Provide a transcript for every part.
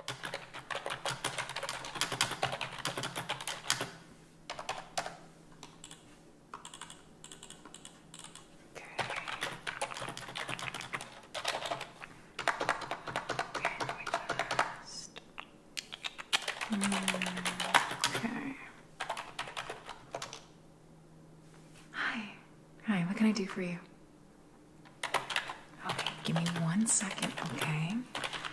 Okay. Mm. Okay. Hi. Hi, what can I do for you? Okay, give me one second, okay?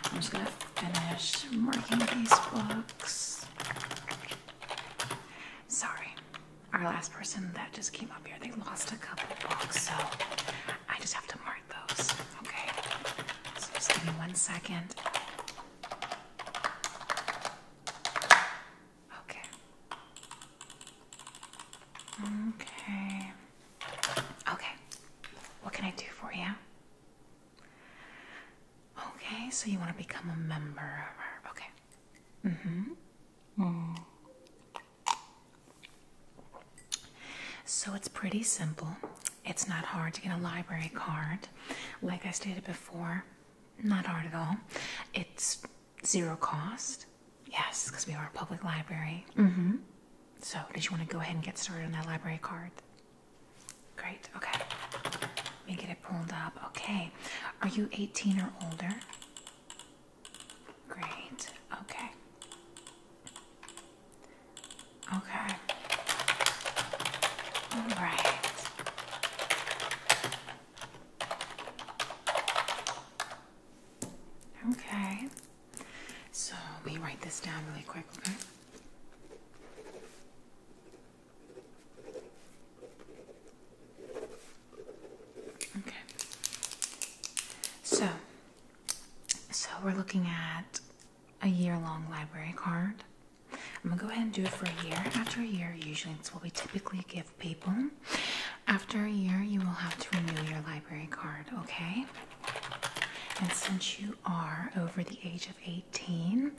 I'm just gonna finish marking these books. Sorry, our last person that just came up here, they lost a couple books, so I just have to mark those, okay? So just give me one second. Okay. Okay. Okay, what can I do for you? Okay, so you want to become a member of our. Okay. Mm-hmm. Mm. So it's pretty simple. It's not hard to get a library card. Like I stated before, not hard at all. It's zero cost. Yes, because we are a public library. Mm-hmm. So, did you want to go ahead and get started on that library card? Great. Okay. Let me get it pulled up. Okay. Are you 18 or older? Great. Okay. Okay. All right. Okay. So we write this down really quick, okay? Okay. So, so we're looking at a year-long library card. I'm gonna go ahead and do it for a year. After a year, usually it's what we typically give people. After a year, you will have to renew your library card, okay? And since you are over the age of 18,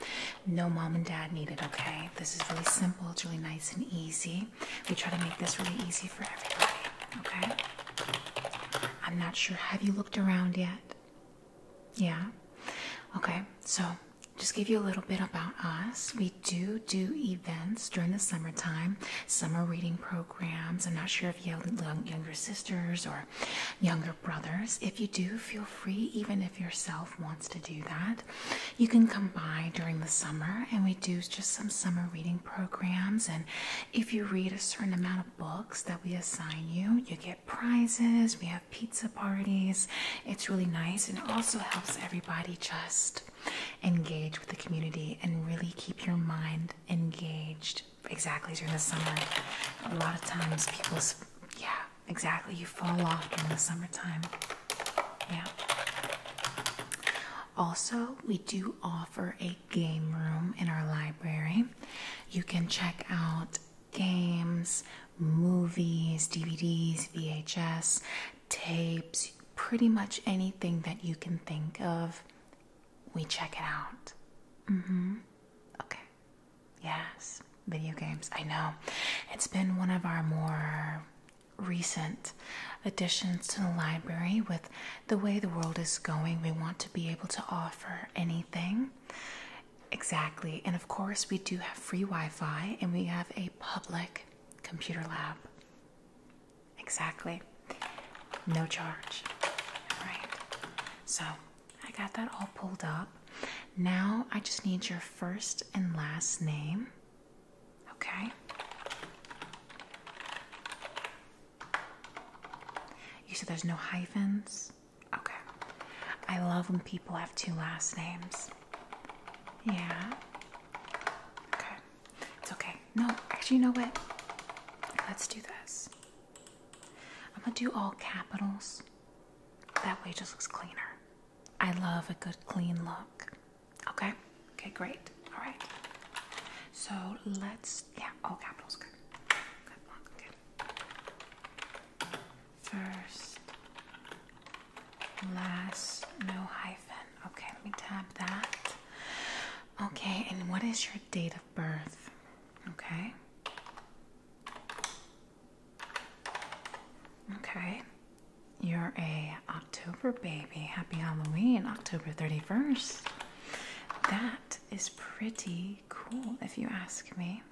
no mom and dad need it, okay? This is really simple, it's really nice and easy. We try to make this really easy for everybody, okay? I'm not sure. Have you looked around yet? Yeah? Okay, so just give you a little bit about us. We do do events during the summertime, summer reading programs I'm not sure if you have younger sisters or younger brothers. If you do, feel free, even if yourself wants to do that. You can come by during the summer and we do just some summer reading programs. And if you read a certain amount of books that we assign you, you get prizes. We have pizza parties. It's really nice and also helps everybody just engage with the community and really keep your mind engaged. Exactly during the summer, a lot of times people's yeah, exactly you fall off during the summertime. Yeah. Also, we do offer a game room in our library. You can check out games, movies, DVDs, VHS, tapes, pretty much anything that you can think of we check it out. Mm hmm. Okay. Yes, video games. I know. It's been one of our more recent additions to the library with the way the world is going. We want to be able to offer anything. Exactly. And of course, we do have free Wi Fi and we have a public computer lab. Exactly. No charge. All right. So I got that all pulled up. Now I just need your first and last name. Okay. You said there's no hyphens? Okay. I love when people have two last names. Yeah. Okay. It's okay. No, actually, you know what? Let's do this. I'm gonna do all capitals. That way just looks cleaner. I love a good clean look. Okay? Okay, great. All right. So let's, yeah, all capitals. Good. Good luck. Good. First, last, no hyphen. Okay, let me tab that. Okay, and what is your date of birth? Okay. Okay. You're a October baby. Happy Halloween, October 31st. That is pretty cool if you ask me.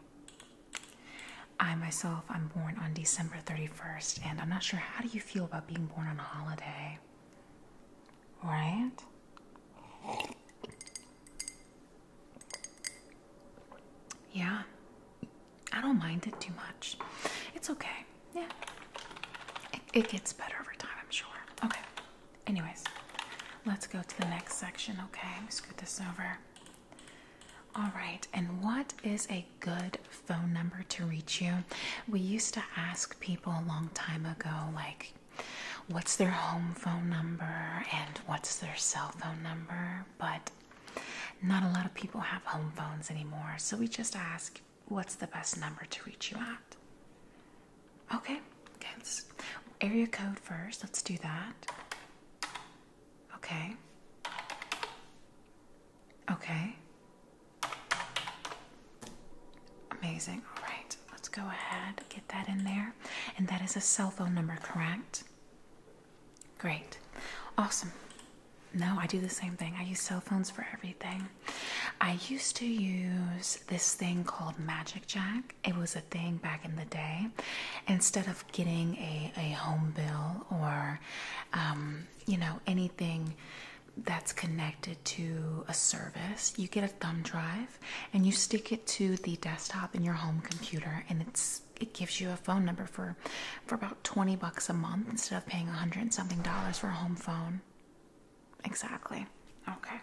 I myself, I'm born on December 31st, and I'm not sure how do you feel about being born on a holiday? Right? Yeah. I don't mind it too much. It's okay. Yeah. It, gets better over time, I'm sure. Okay. Anyways, let's go to the next section, okay? scoot this over. All right, and what is a good phone number to reach you. We used to ask people a long time ago, like, what's their home phone number and what's their cell phone number, but not a lot of people have home phones anymore, so we just ask what's the best number to reach you at. Okay, okay, area code first. Let's do that. Okay. Okay. Amazing. All right, let's go ahead, get that in there. And that is a cell phone number, correct? Great. Awesome. No, I do the same thing. I use cell phones for everything. I used to use this thing called Magic Jack. It was a thing back in the day. Instead of getting a, a home bill or, um, you know, anything that's connected to a service. You get a thumb drive and you stick it to the desktop in your home computer and it's it gives you a phone number for for about 20 bucks a month instead of paying a 100 something dollars for a home phone. Exactly. Okay.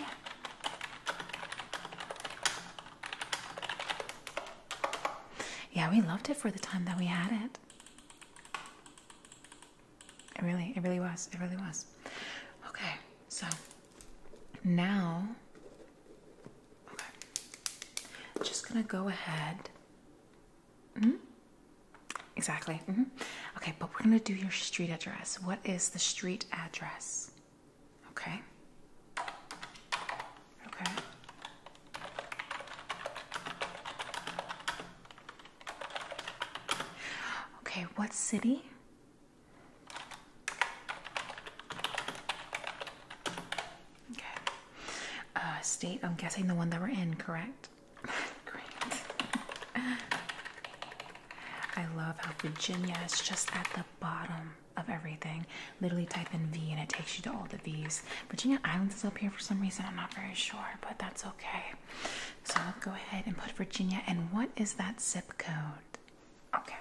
Yeah. yeah, we loved it for the time that we had it. It really, it really was. It really was. Okay, so now, I'm just gonna go ahead. Mm -hmm. Exactly. -hmm. Okay, but we're gonna do your street address. What is the street address? Okay. Okay. Okay, what city? Okay. Uh, state, I'm guessing the one that we're in, correct? Great. I love how Virginia is just at the bottom of everything. Literally type in V and it takes you to all the V's. Virginia Islands is up here for some reason. I'm not very sure, but that's okay. Okay. So I'll go ahead and put Virginia. And what is that zip code? Okay.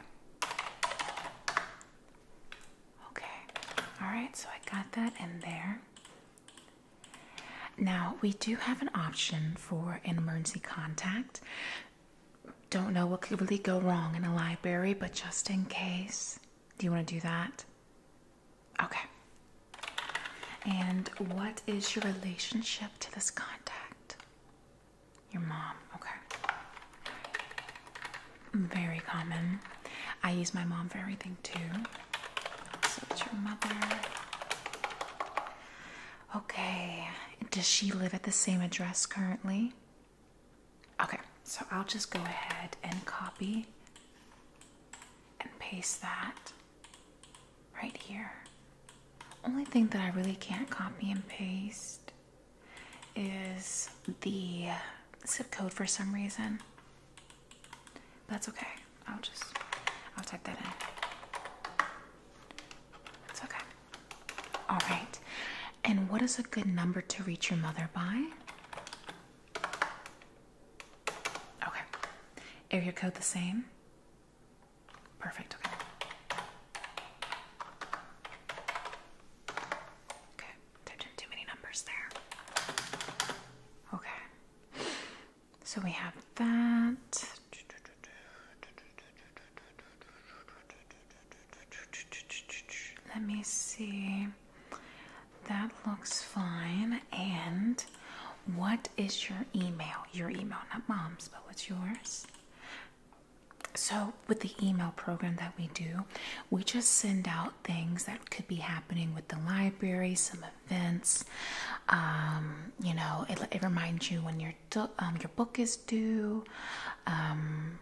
Okay. All right. So I got that in there. Now, we do have an option for an emergency contact. Don't know what could really go wrong in a library, but just in case, do you want to do that? Okay. And what is your relationship to this contact? Your mom. Okay. Very common. I use my mom for everything too. So it's your mother. Okay. Does she live at the same address currently? Okay. So I'll just go ahead and copy and paste that right here. Only thing that I really can't copy and paste is the zip code for some reason. That's okay. I'll just, I'll type that in. It's okay. All right. And what is a good number to reach your mother by? Okay. Area code the same? Perfect. Okay. Okay. Typed in too many numbers there. Okay. So we have that. Let me see. That looks fine. And what is your email? Your email, not mom's, but what's yours? So, with the email program that we do, we just send out things that could be happening with the library, some events. Um, you know, it, reminds you when your um, your book is due, um,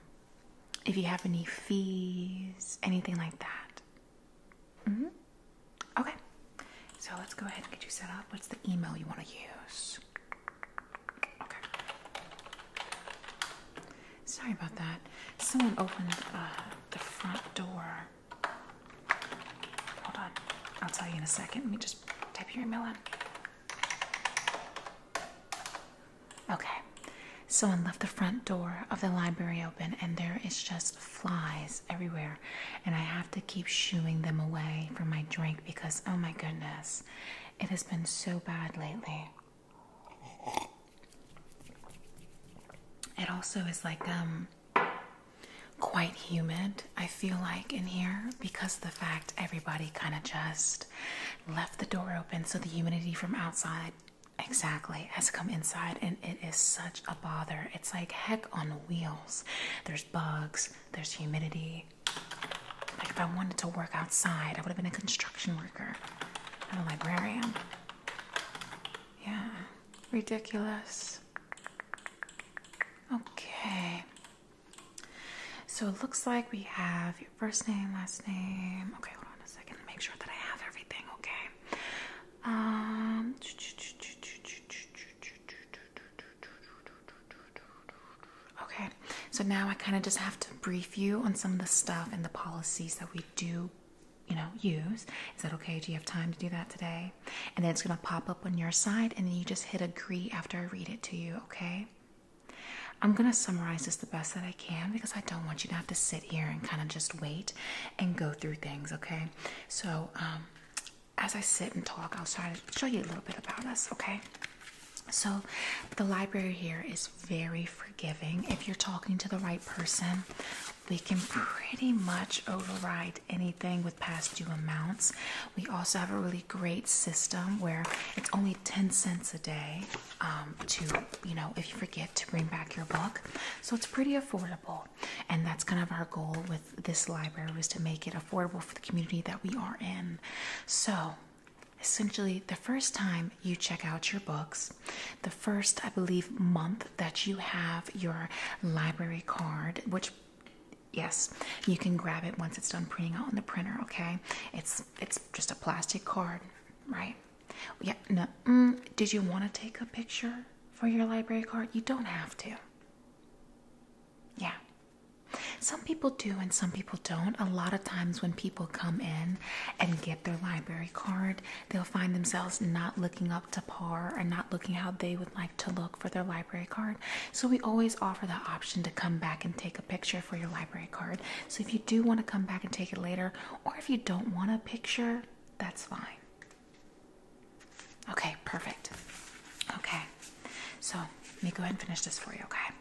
if you have any fees, anything like that. -hmm. Okay, so let's go ahead and get you set up. What's the email you want to use? Okay. Sorry about that. Someone opened uh, the front door. Hold on. I'll tell you in a second. Let me just type your email in. Okay. Someone left the front door of the library open, and there is just flies everywhere. And I have to keep shooing them away from my drink because, oh my goodness, it has been so bad lately. It also is like um quite humid. I feel like in here because the fact everybody kind of just left the door open, so the humidity from outside Exactly, has come inside, and it is such a bother. It's like heck on wheels. There's bugs, there's humidity. Like, if I wanted to work outside, I would have been a construction worker, I'm a librarian. Yeah, ridiculous. Okay, so it looks like we have your first name, last name. Okay, hold on a second, make sure that I have everything, okay? Um, okay, so now I kind of just have to brief you on some of the stuff and the policies that we do, you know, use. Is that okay? Do you have time to do that today? And then it's going to pop up on your side, and then you just hit agree after I read it to you, okay? I'm going to summarize this the best that I can because I don't want you to have to sit here and kind of just wait and go through things, okay? So, um, as I sit and talk, I'll try to show you a little bit about us, okay? So, the library here is very forgiving. If you're talking to the right person, we can pretty much override anything with past due amounts. We also have a really great system where it's only 10 cents a day um, to you know, if you forget to bring back your book. So it's pretty affordable. And that's kind of our goal with this library was to make it affordable for the community that we are in. So essentially the first time you check out your books the first i believe month that you have your library card which yes you can grab it once it's done printing out on the printer okay it's it's just a plastic card right yeah, no. Mm, did you want to take a picture for your library card? You don't have to. Yeah. Some people do and some people don't. A lot of times when people come in and get their library card, they'll find themselves not looking up to par or not looking how they would like to look for their library card. So we always offer the option to come back and take a picture for your library card. So if you do want to come back and take it later, or if you don't want a picture, that's fine. Okay, perfect. Okay, so let me go ahead and finish this for you, okay?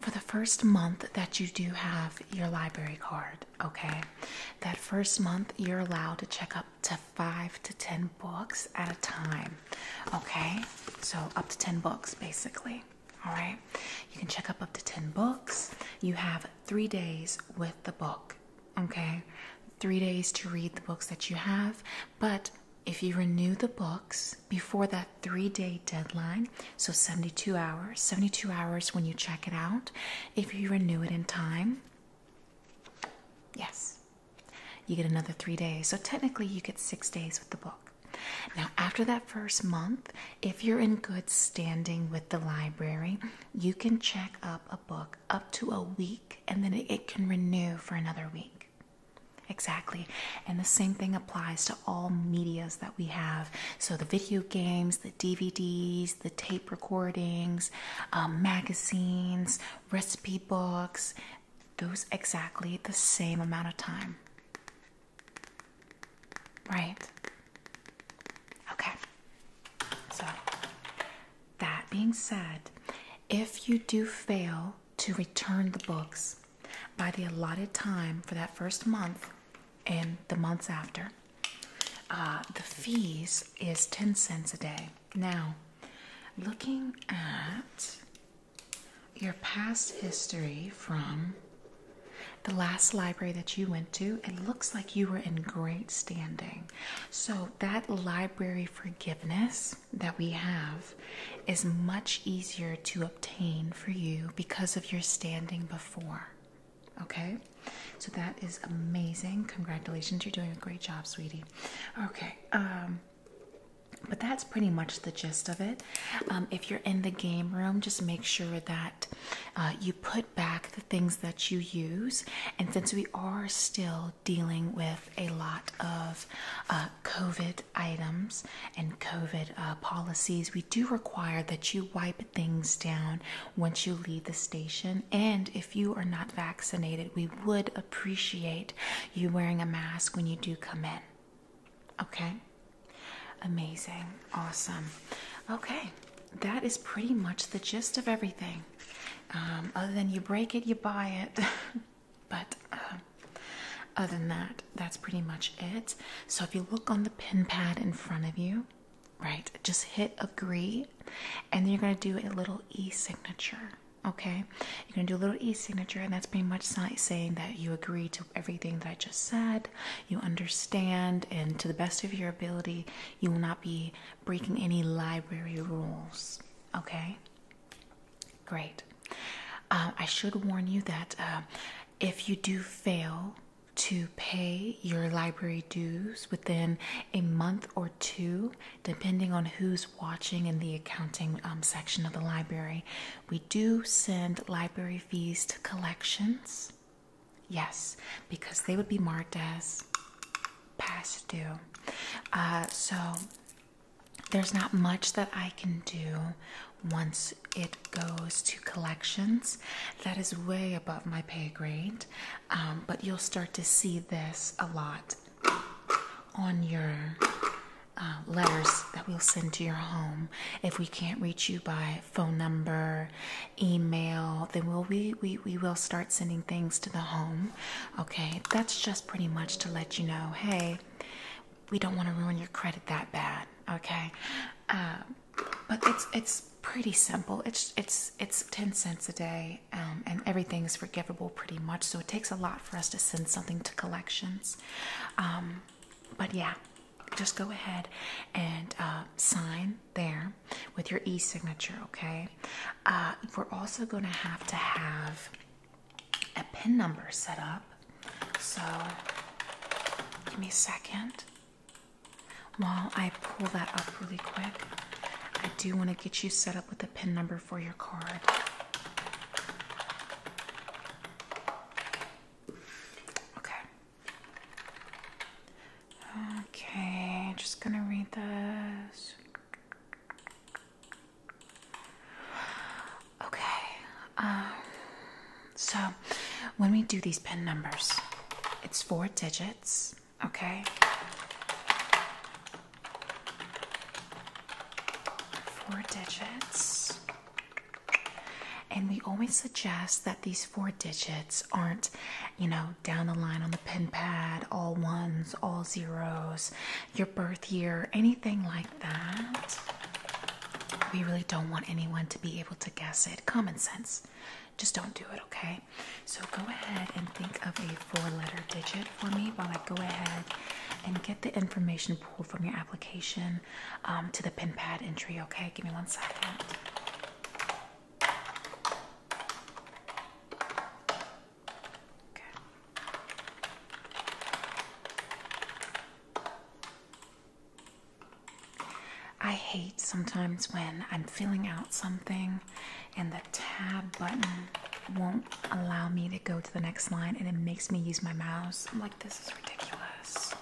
For the first month that you do have your library card, okay, that first month you're allowed to check up to five to ten books at a time, okay? So up to ten books basically, all right? You can check up up to ten books. You have three days with the book. Okay, three days to read the books that you have, but if you renew the books before that three day deadline, so 72 hours, 72 hours when you check it out, if you renew it in time, yes, you get another three days. So technically, you get six days with the book. Now, after that first month, if you're in good standing with the library, you can check up a book up to a week and then it can renew for another week. Exactly. And the same thing applies to all medias that we have. So the video games, the DVDs, the tape recordings, um, magazines, recipe books, those exactly the same amount of time. Right. Okay. So, that being said, if you do fail to return the books by the allotted time for that first month and the months after, uh, the fees is 10 cents a day. Now, looking at your past history from the last library that you went to, it looks like you were in great standing. So, that library forgiveness that we have is much easier to obtain for you because of your standing before. Okay, so that is amazing. Congratulations, you're doing a great job, sweetie. Okay, um, but that's pretty much the gist of it. Um, if you're in the game room, just make sure that uh, you put back the things that you use. And since we are still dealing with a lot of uh, COVID items and COVID uh, policies, we do require that you wipe things down once you leave the station. And if you are not vaccinated, we would appreciate you wearing a mask when you do come in. Okay? Amazing. Awesome. Okay, that is pretty much the gist of everything. Um, other than you break it, you buy it. but um, other than that, that's pretty much it. So if you look on the pin pad in front of you, right, just hit agree, and then you're going to do a little e signature. Okay, you're gonna do a little e signature, and that's pretty much saying that you agree to everything that I just said you understand, and to the best of your ability, you will not be breaking any library rules. Okay? Great. Um, I should warn you that uh, if you do fail to pay your library dues within a month or two, depending on who's watching in the accounting um, section of the library, we do send library fees to collections. Yes, because they would be marked as past due. Uh, so there's not much that I can do once it goes to collections. That is way above my pay grade, um, but you'll start to see this a lot on your uh, letters that we'll send to your home if we can't reach you by phone number email, then we'll we, we will start sending things to the home. Okay, that's just pretty much to let you know, hey, we don't want to ruin your credit that bad. Okay, uh, but it's it's pretty simple. It's it's it's ten cents a day, um, and everything is forgivable pretty much. So it takes a lot for us to send something to collections. Um, but yeah, just go ahead and uh, sign there with your e-signature okay uh, we're also going to have to have a pin number set up so give me a second while i pull that up really quick i do want to get you set up with a pin number for your card okay Okay, just gonna read this. Okay, um, so when we do these pin numbers, it's four digits, okay? Four digits. And we always suggest that these four digits aren't, you know, down the line on the pen pad, all ones, all zeros, your birth year, anything like that. We really don't want anyone to be able to guess it. Common sense. Just don't do it, okay? So go ahead and think of a four letter digit for me while I go ahead and get the information pulled from your application. Um, to the pin pad entry, okay? Give me one second. I hate sometimes when I'm filling out something and the tab button won't allow me to go to the next line and it makes me use my mouse. I'm like, this is ridiculous.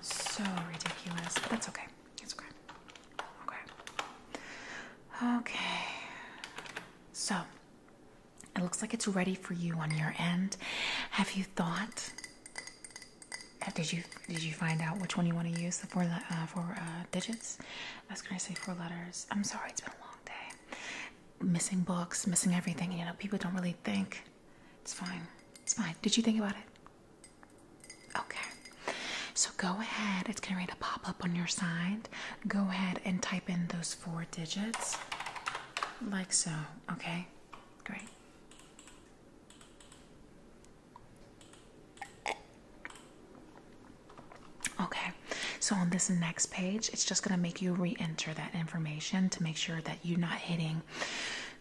So ridiculous. But that's okay. It's okay. Okay. Okay. So it looks like it's ready for you on your end. Have you thought? Uh, did you did you find out which one you want to use? The uh, four uh, digits. I was gonna say four letters. I'm sorry, it's been a long day. Missing books, missing everything. You know, people don't really think it's fine. It's fine. Did you think about it? Okay. So go ahead. It's going to pop up on your side. Go ahead and type in those four digits. Like so. Okay. Great. Okay, so on this next page, it's just gonna make you re-enter that information to make sure that you're not hitting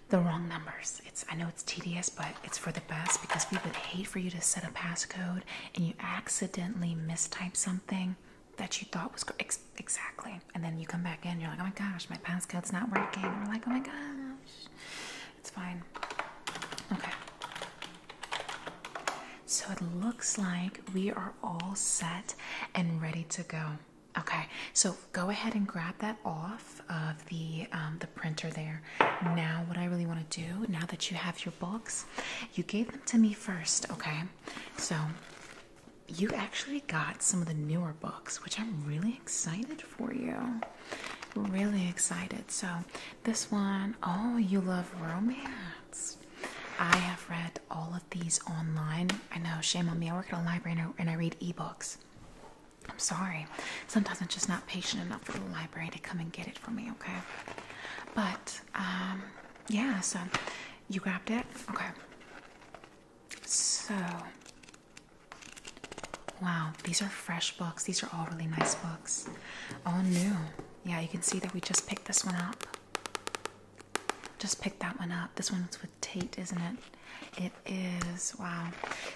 the wrong numbers. It's I know it's tedious, but it's for the best because we would hate for you to set a passcode and you accidentally mistype something that you thought was ex exactly, and then you come back in, you're like, oh my gosh, my passcode's not working. we're like, oh my gosh, it's fine. Okay. So it looks like we are all set and ready to go. Okay, so go ahead and grab that off of the um, the printer there. Now, what I really want to do, now that you have your books, you gave them to me first. Okay, so you actually got some of the newer books, which I'm really excited for you. Really excited. So this one, oh, you love romance. I have read all of these online. I know, shame on me. I work at a library and I read ebooks. I'm sorry. Sometimes I'm just not patient enough for the library to come and get it for me, okay? But, um, yeah, so you grabbed it? Okay. So, wow, these are fresh books. These are all really nice books. All new. Yeah, you can see that we just picked this one up. Just picked that one up. This one's with Tate, isn't it? It is. Wow.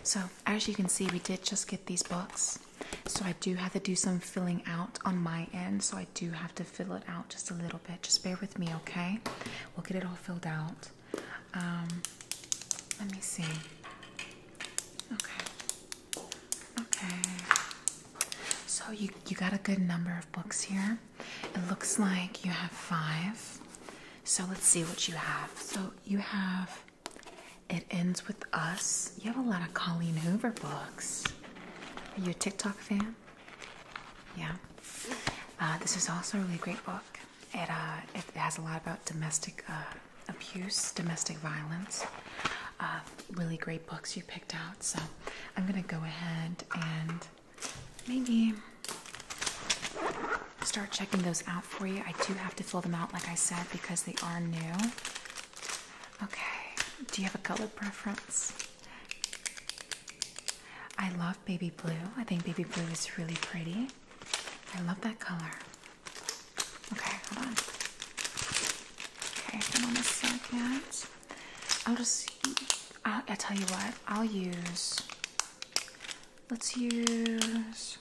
So, as you can see, we did just get these books. So, I do have to do some filling out on my end. So, I do have to fill it out just a little bit. Just bear with me, okay? We'll get it all filled out. Um, let me see. Okay. Okay. So, you, you got a good number of books here. It looks like you have five. So let's see what you have. So you have It Ends With Us. You have a lot of Colleen Hoover books. Are you a TikTok fan? Yeah. Uh, this is also a really great book. It, uh, it has a lot about domestic uh, abuse, domestic violence. Uh, really great books you picked out. So I'm going to go ahead and maybe start checking those out for you. I do have to fill them out, like I said, because they are new. Okay, do you have a color preference? I love baby blue. I think baby blue is really pretty. I love that color. Okay, hold on. Okay, hold on a second. I'll just, I'll tell you what, I'll use Let's use.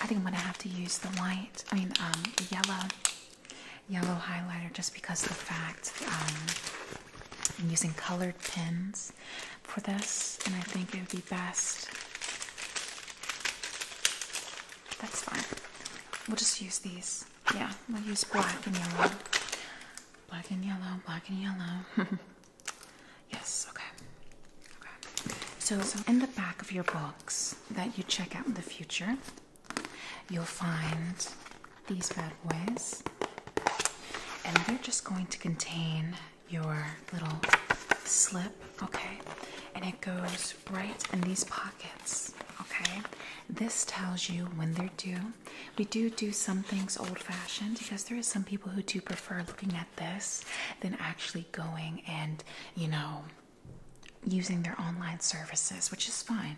I think I'm gonna have to use the light. I mean, um, yellow, yellow highlighter, just because the fact um, I'm using colored pins for this, and I think it would be best. That's fine. We'll just use these. Yeah, we'll use black and yellow. Black and yellow. Black and yellow. Yes, okay. so in the back of your books that you check out in the future, you'll find these bad boys. And they're just going to contain your little slip, okay? And it goes right in these pockets, okay? This tells you when they're due. We do do some things old fashioned because there is some people who do prefer looking at this than actually going and, you know, using their online services, which is fine.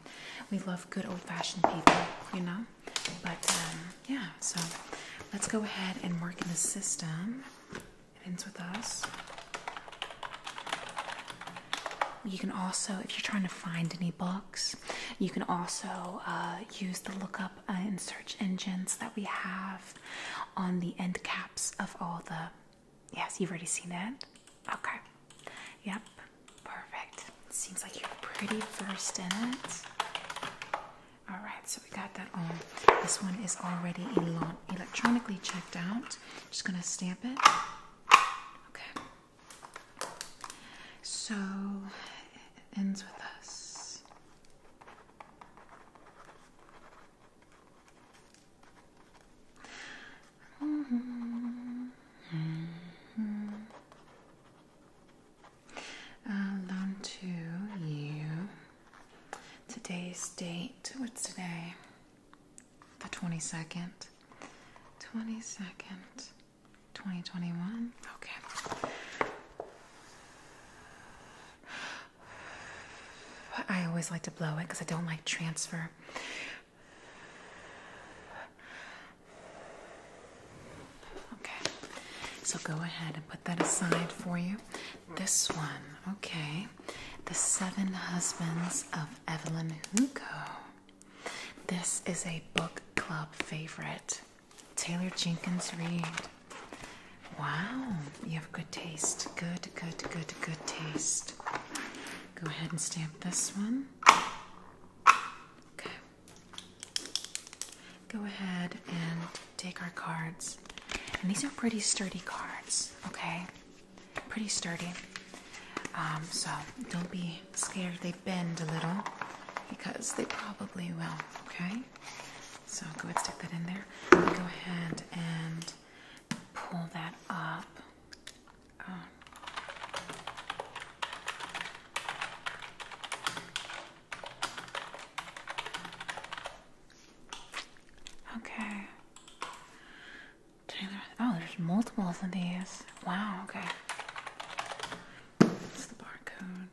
We love good old fashioned people, you know. But um, yeah, so let's go ahead and work in the system. It ends with us. You can also, if you're trying to find any books, you can also uh, use the lookup up uh, in search engines that we have on the end caps of all the. Yes, you've already seen it. Okay. Yep. Perfect. Seems like you're pretty first in it. All right, so we got that on. This one is already electronically checked out. Just gonna stamp it. Okay. So it ends with us. Mm-hmm. Mm-hmm. Alone to you. Today's date. What's today? The 22nd. 22nd. 2021? Okay. I always like to blow it because I don't like transfer. Okay. So go ahead and put that aside for you. This one, okay. The Seven Husbands of Evelyn Hugo. This is a book club favorite. Taylor Jenkins Reid. Wow, you have good taste. Good, good, good, good taste. Go ahead and stamp this one. Okay. Go ahead and take our cards. And these are pretty sturdy cards, okay? Pretty sturdy. Um, so don't be scared they bend a little because they probably will, okay? So go ahead, stick that in there. Go ahead and pull that up. Oh. Okay. Taylor, oh, there's multiples of these. Wow, okay. It's the barcode.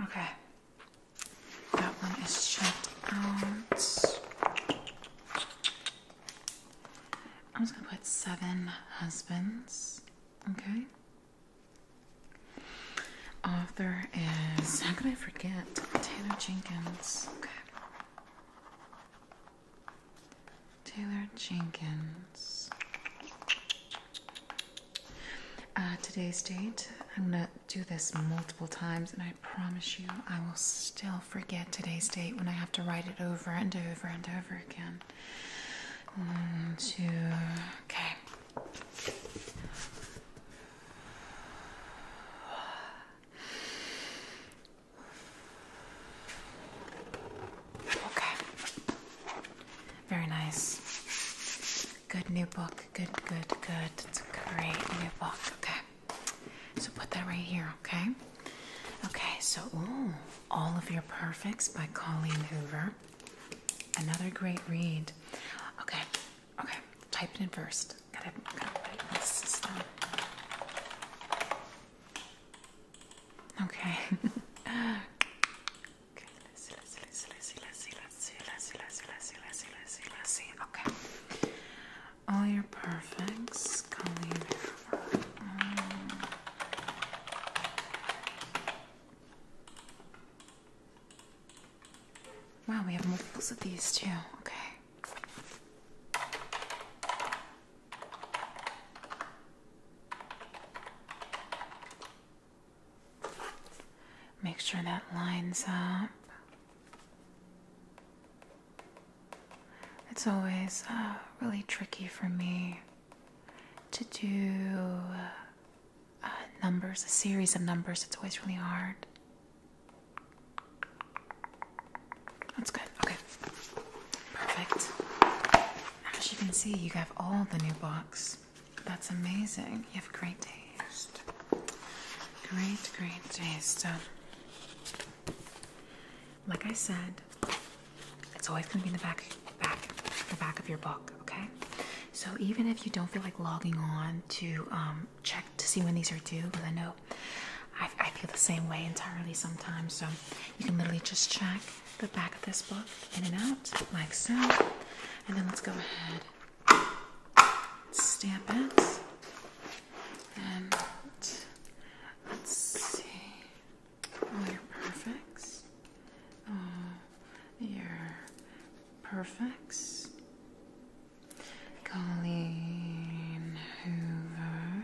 Okay. Okay. That one is checked I'm just gonna put seven husbands. Okay author is, how could I forget? Taylor Jenkins. Okay. Taylor Jenkins. Uh, today's date, I'm gonna do this multiple times, and I promise you, I will still forget today's date when I have to write it over and over and over again. One, two, okay. Okay. Very nice. Good new book. Good, good, good. It's a great new book. Okay. So put that right here, okay? Okay, so ooh, All of Your Perfects by Colleen Hoover. Another great read. Okay, Okay, type it in 1st Okay. All your perfects, Wow, we have multiples of these too. Okay. Make sure that lines up. It's always uh, really tricky for me to do uh, numbers, a series of numbers. It's always really hard. That's good. Okay. Perfect. As you can see, you have all the new books. That's amazing. You have great taste. Great, great taste. Uh, like I said, it's always going to be in the back, back, the back of your book. Okay. So even if you don't feel like logging on to um, check to see when these are due because I know I, I feel the same way entirely sometimes. So you can literally just check the back of this book in and out, like so. And then let's go ahead stamp it. And let's see. Oh, you're perfect. Oh, you're perfect. Colleen Hoover,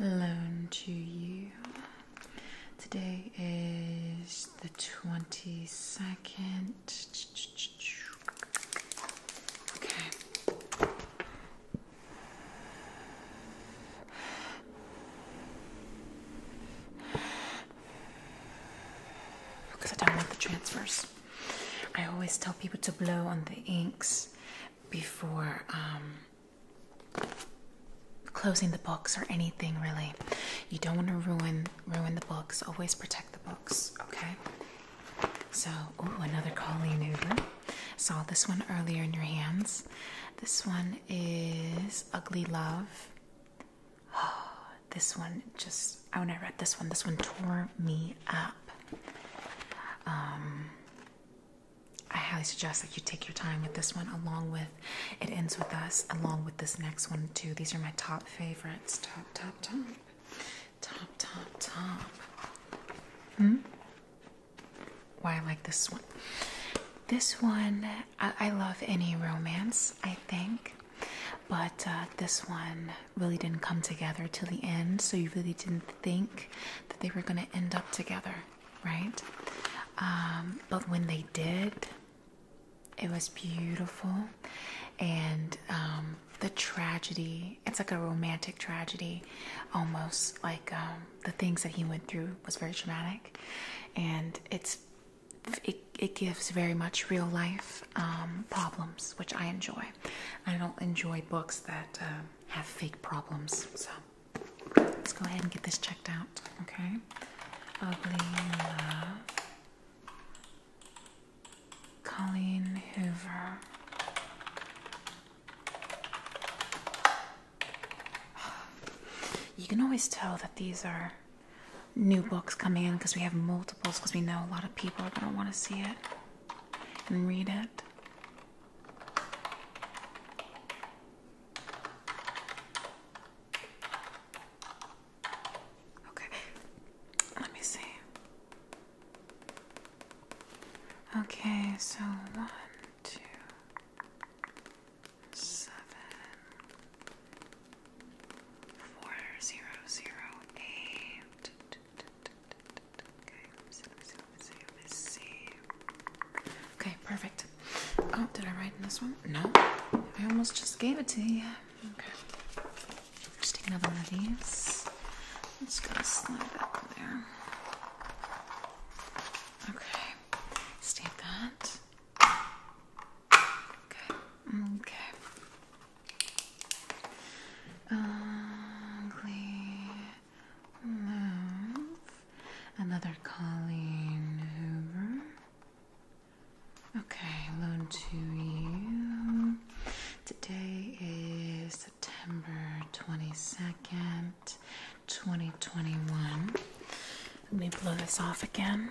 loan to you. Today is the 22nd because I don't want the transfers. I always tell people to blow on the inks before um, closing the books or anything really. You don't want to ruin ruin the books. Always protect the books, okay? So, ooh, another Colleen Uber. Saw this one earlier in your hands. This one is Ugly Love. this one just, when I read this one, this one tore me up. Um, I highly suggest that you take your time with this one, along with It Ends With Us, along with this next one, too. These are my top favorites. Top, top, top. Top, top, top. Hmm? Why I like this one. This one, I love any romance, I think. But uh, this one really didn't come together till the end, so you really didn't think that they were going to end up together, right? Um, but when they did, it was beautiful. And um, the tragedy, it's like a romantic tragedy, almost like um, the things that he went through was very traumatic. And it's it, gives very much real life um, problems, which I enjoy. I don't enjoy books that um, have fake problems. So let's go ahead and get this checked out, okay? Ugly Love. Colleen Hoover. You can always tell that these are new books coming in because we have multiples because we know a lot of people are going to want to see it and read it. Okay, let me see. Okay, so one, two, seven, four zero zero eight. Okay, let's see, let's see, Okay, perfect. Oh, did I write in this one? No. I almost just gave it to you. Okay. Just take another one of these. Let's go slide that there. Okay. Stamp that. Okay, um, okay. Ugly um, move. Another Colleen Hoover. Okay, loan to you. Today is September 22nd, 2021. Let me blow this off again.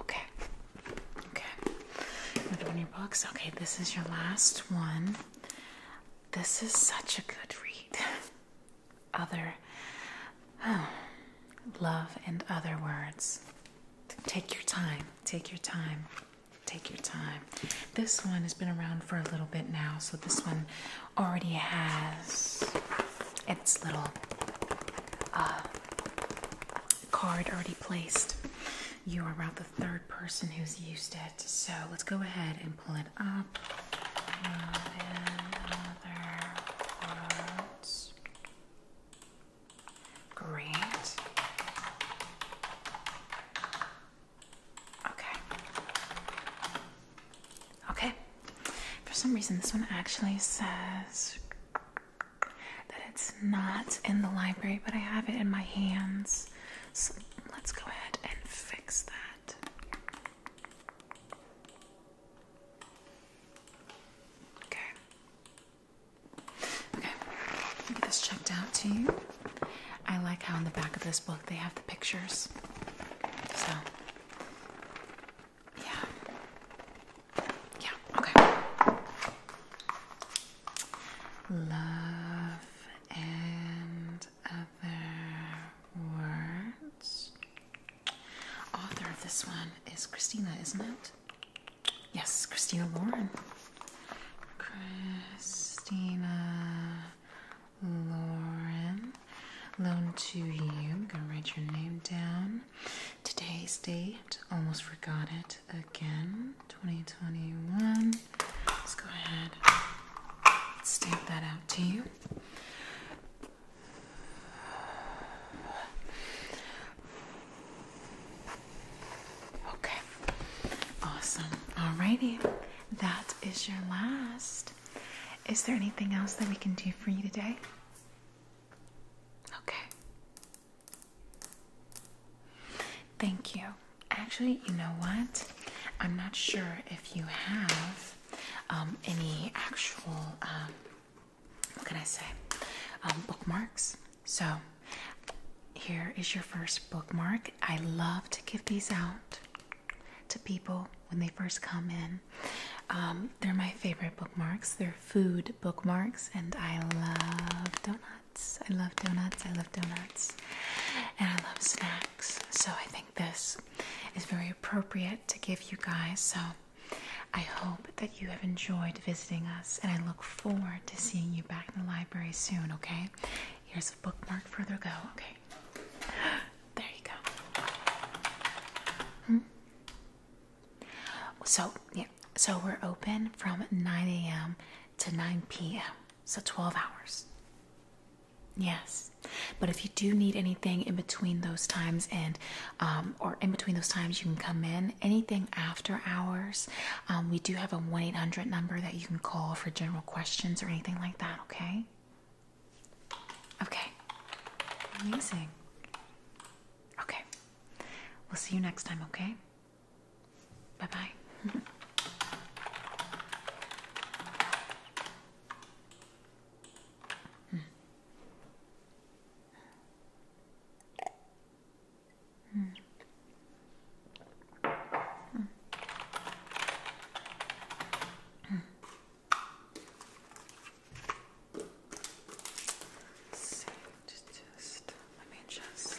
Okay. Okay. Put on your books. Okay, this is your last one. This is such a good read. Other. Oh, love and other words. Take your time. Take your time. Take your time. This one has been around for a little bit now, so this one already has its little uh, card already placed. You are about the third person who's used it, so let's go ahead and pull it up. Great. Okay. Okay. For some reason, this one actually says that it's not in the library, but I have it in my hands. So let's go ahead and fix that. Okay. Okay. I'll this checked out to you. I like how in the back of this book they have the pictures. So, yeah. Yeah, okay. Love and other words. Author of this one is Christina, isn't it? Yes, Christina Warren. Christina Lauren. Loan to you. I'm gonna write your name down. Today's date. Almost forgot it again. 2021. Let's go ahead. stamp that out to you. Okay. Awesome. righty that is your last. Is there anything else that we can do for you today? Okay. Thank you. Actually, you know what? I'm not sure if you have um, any actual, uh, what can I say, um, bookmarks. So, here is your first bookmark. I love to give these out to people when they first come in. Um, they're my favorite bookmarks. They're food bookmarks, and I love donuts. I love donuts. I love donuts. And I love snacks. So I think this is very appropriate to give you guys. So I hope that you have enjoyed visiting us, and I look forward to seeing you back in the library soon, okay? Here's a bookmark further go. Okay. There you go. Hmm? So, yeah. So we're open from 9 a.m. to 9 p.m. So 12 hours. Yes. But if you do need anything in between those times and, um, or in between those times, you can come in. Anything after hours, um, we do have a 1 800 number that you can call for general questions or anything like that, okay? Okay. Amazing. Okay. We'll see you next time, okay? Bye bye. Hmm. Mm. Let's just let me just